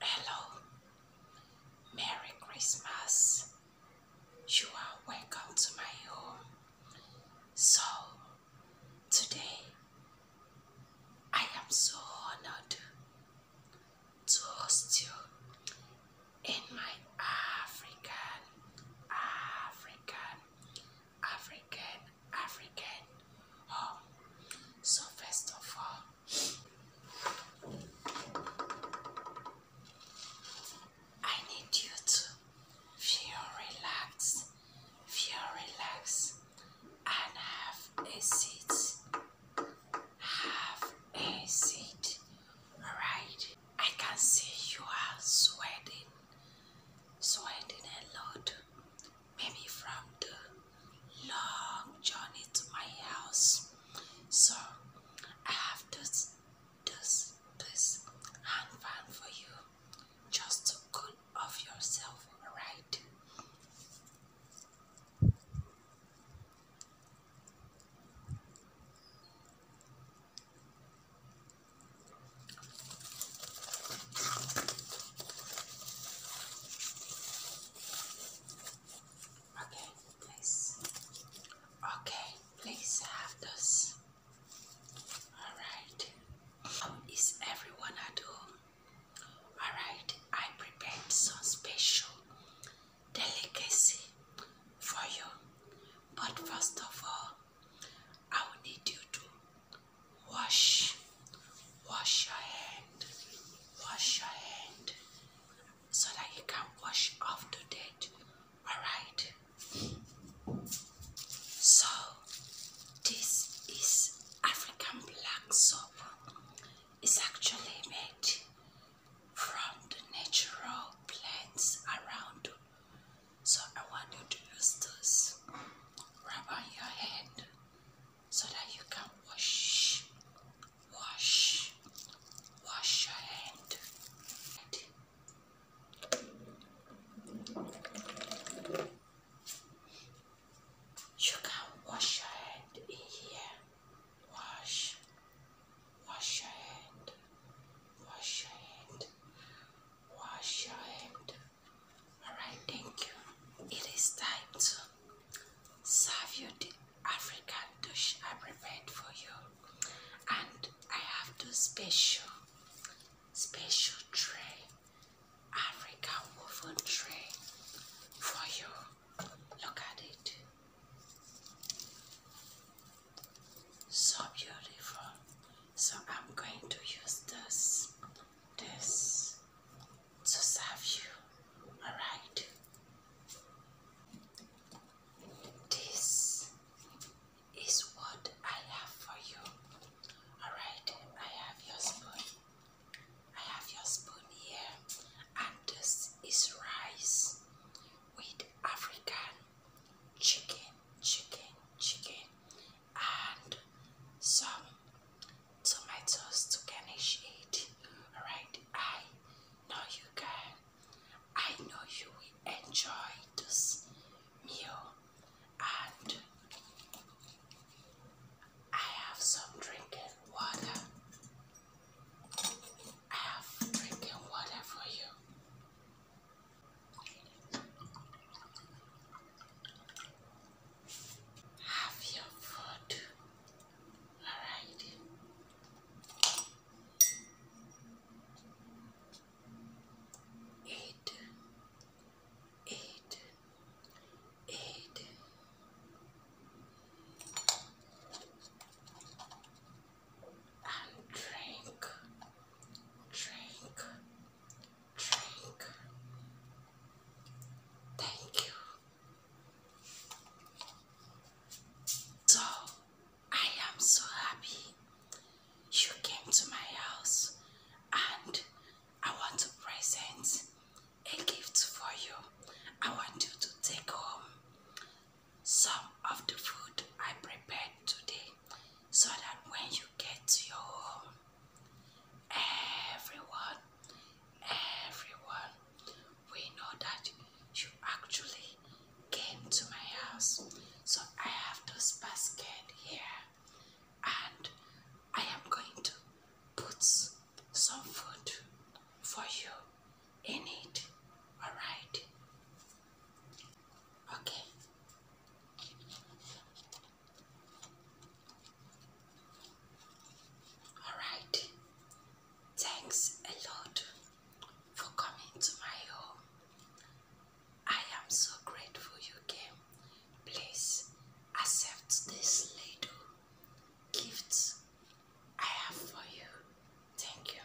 Hello, Merry Christmas. You are welcome to my home. So, today I am so honored to host you in my African, African, African, African home. So, first of all, I need you to feel relaxed, feel relaxed, and have a seat. Have a seat. Alright. I can see you are sweating, sweating a lot maybe from the long journey to my house. So I have this this this hand fan for you just to cool off yourself, alright? Okay, please. Okay, please have this. Alright. Is everyone at home? Alright, I prepared some special delicacy for you. But first of all, I need you to Wash. Wash your hand. Wash your hand. So that you can wash off the dirt. Alright? So, this is African black soap. It's actually made from the natural plants around. So I want you to use this. Rub on your hand so that you can wash, wash, wash your hand. You can wash your hand in here. Wash, wash your hand, wash your hand, wash your hand. Alright, thank you. It is time to serve you the African dish I prepared for you. And I have two special, special tray, African woven tray for you. Look at it. So beautiful. So I'm going to use this, this to serve you. Alright? This is what I have for you. Alright? I have your spoon. I have your spoon here. And this is rice with African chicken, chicken, chicken and some tomatoes to finish it. Alright, I know you can. I know you will enjoy this meal and I have some drinking water. I have drinking water for you. Have your food. Alright. Eat. Eat. Eat. And drink, drink, drink. Thank you. So, I am so happy you came to my house and I want to present a gift for you. I want you to take home some of the food I prepared today so that when you get to your home, everyone, everyone we know that you actually came to my house. So I have this basket here and I am going to put some food for you in it. Alright? Okay. Alright. Thanks a lot for coming to my home. I am so grateful you came. Please accept this little gift I have for you. Thank you.